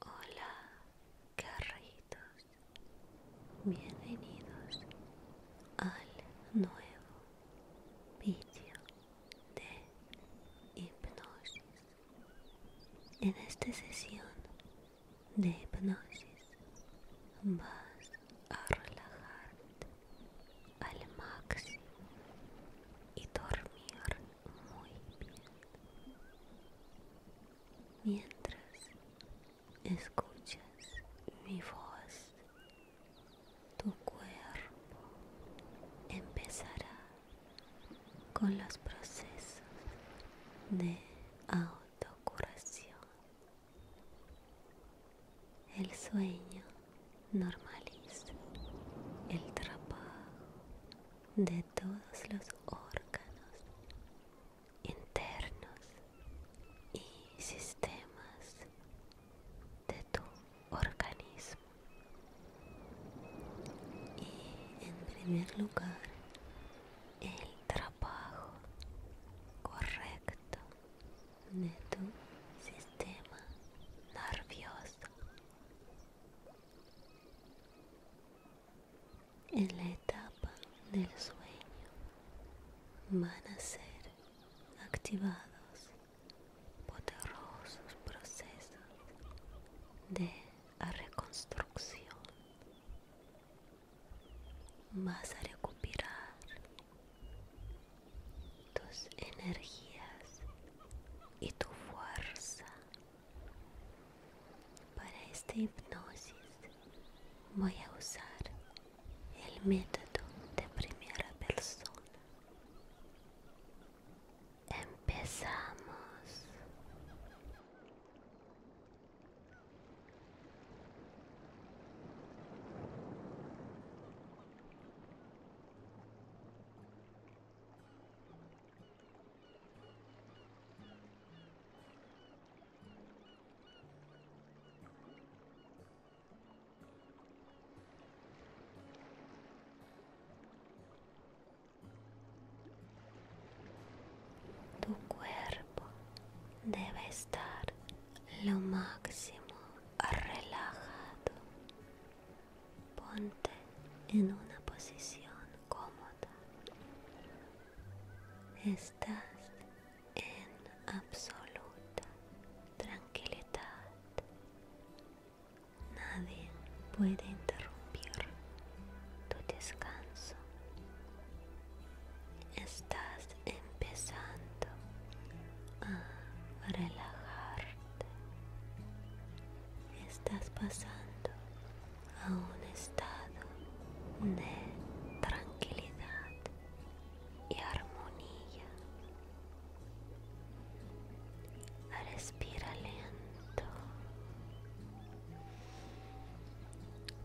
Hola, carritos, bienvenidos al nuevo vídeo de hipnosis. En esta sesión de hipnosis vas a relajarte al máximo y dormir muy bien mientras escuchas mi voz tu cuerpo empezará con los procesos de autocuración el sueño normaliza el trabajo de todos los órganos internos y sistemas de tu organismo. Y en primer lugar, el trabajo correcto de tu sistema nervioso. En la etapa del sueño van a ser activados poderosos procesos de reconstrucción. Vas a recuperar tus energías y tu fuerza para esta hipnosis voy a usar el método de primera persona empezamos tu cuerpo debe estar lo máximo relajado. Ponte en una posición cómoda. Estás en absoluta tranquilidad. Nadie puede interrumpir tu descanso. Estás empezando a relajarte. Estás pasando a un estado de tranquilidad y armonía. Respira lento.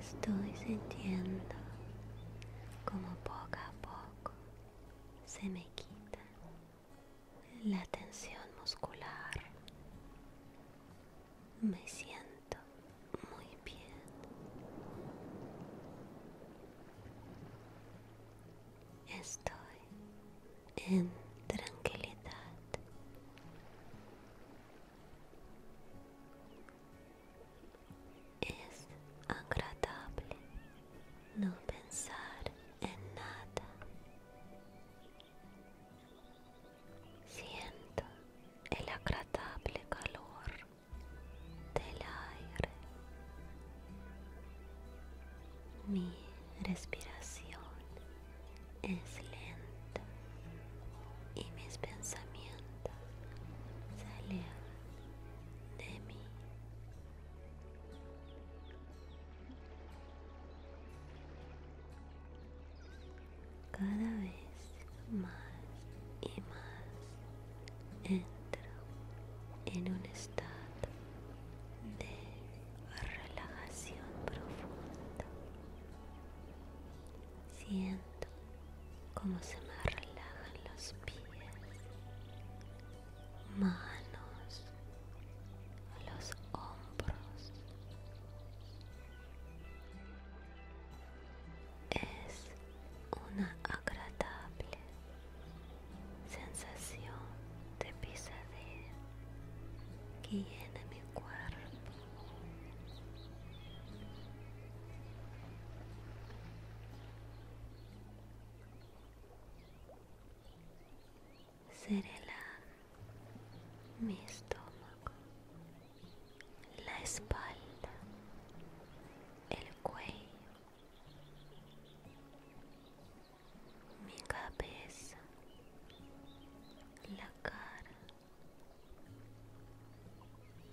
Estoy sintiendo como poco a poco se me quita la tensión muscular. Me siento muy bien. Estoy en tranquilidad. Es agradable no pensar en nada. Siento el agradable calor del aire. Mi respiración es lenta y mis pensamientos se de mí. Cada vez más y más entro en un de relajación profunda. Siento como se me relajan los pies, manos, los hombros. Es una agradable sensación de pesadez que llena mi cuerpo. la, mi estómago, la espalda, el cuello, mi cabeza, la cara.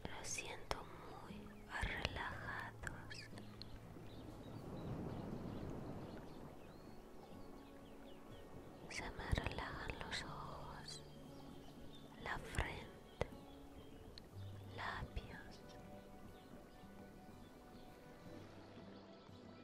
Lo siento muy relajados. Se me relajan los ojos, la frente, labios.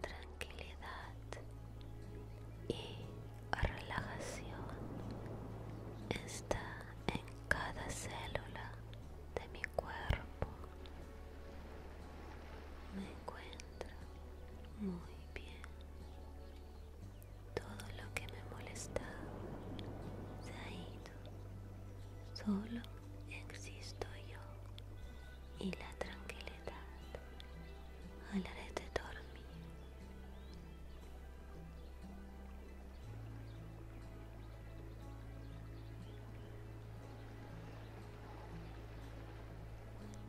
tranquilidad y relajación está en cada célula de mi cuerpo. Me encuentro muy bien. Todo lo que me molesta se ha ido. Solo existo yo y la tranquilidad al de dormir.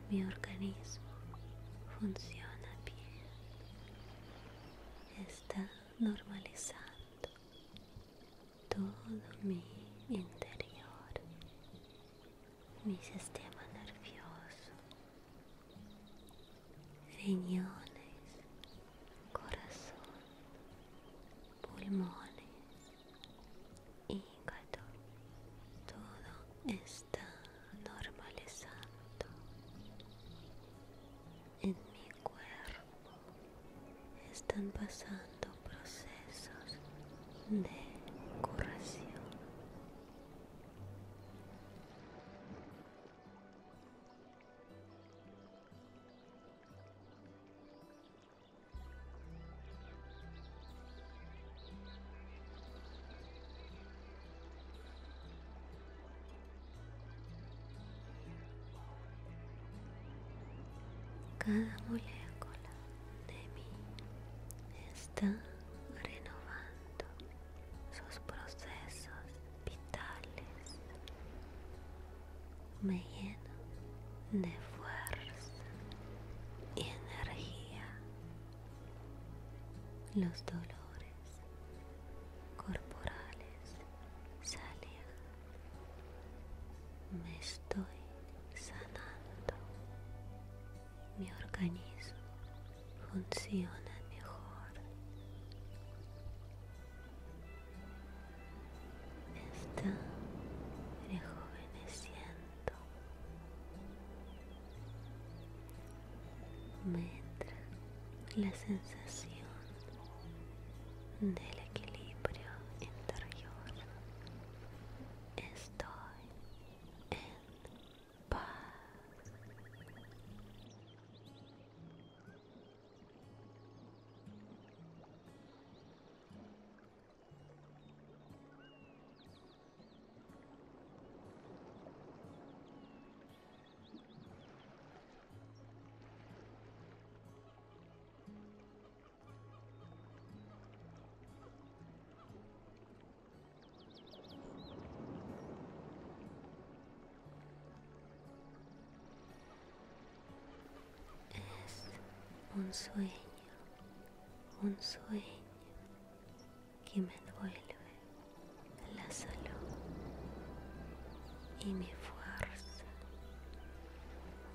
Mi organismo funciona bien, está normalizando todo mi interior, mi sistema nervioso, riñones, corazón, pulmones, hígado, todo está normalizando en mi cuerpo están pasando procesos de curación. Cada molécula de mí está renovando sus procesos vitales. Me lleno de fuerza y energía. Los dolores corporales salen me estoy sanando. Mi organismo funciona mejor. Está rejuveneciendo. Me entra la sensación del equilibrio interior. Estoy en paz. Es un sueño, un sueño que me devuelve la salud y mi fuerza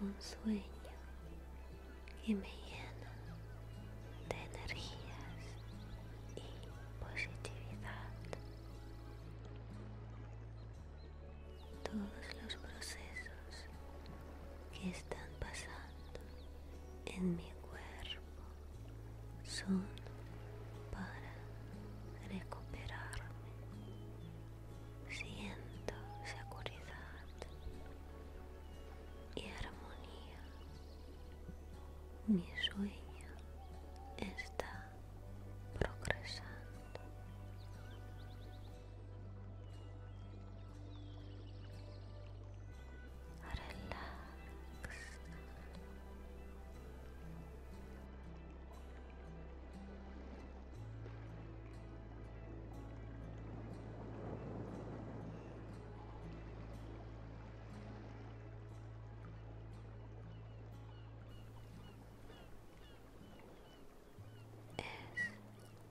un sueño que me llena de energías y positividad. Todos los procesos que están pasando en mi cuerpo son para recuperarme siento seguridad y armonía. Mi sueño está progresando es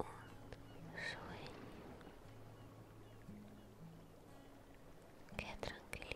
un sueño. Qué tranquilidad.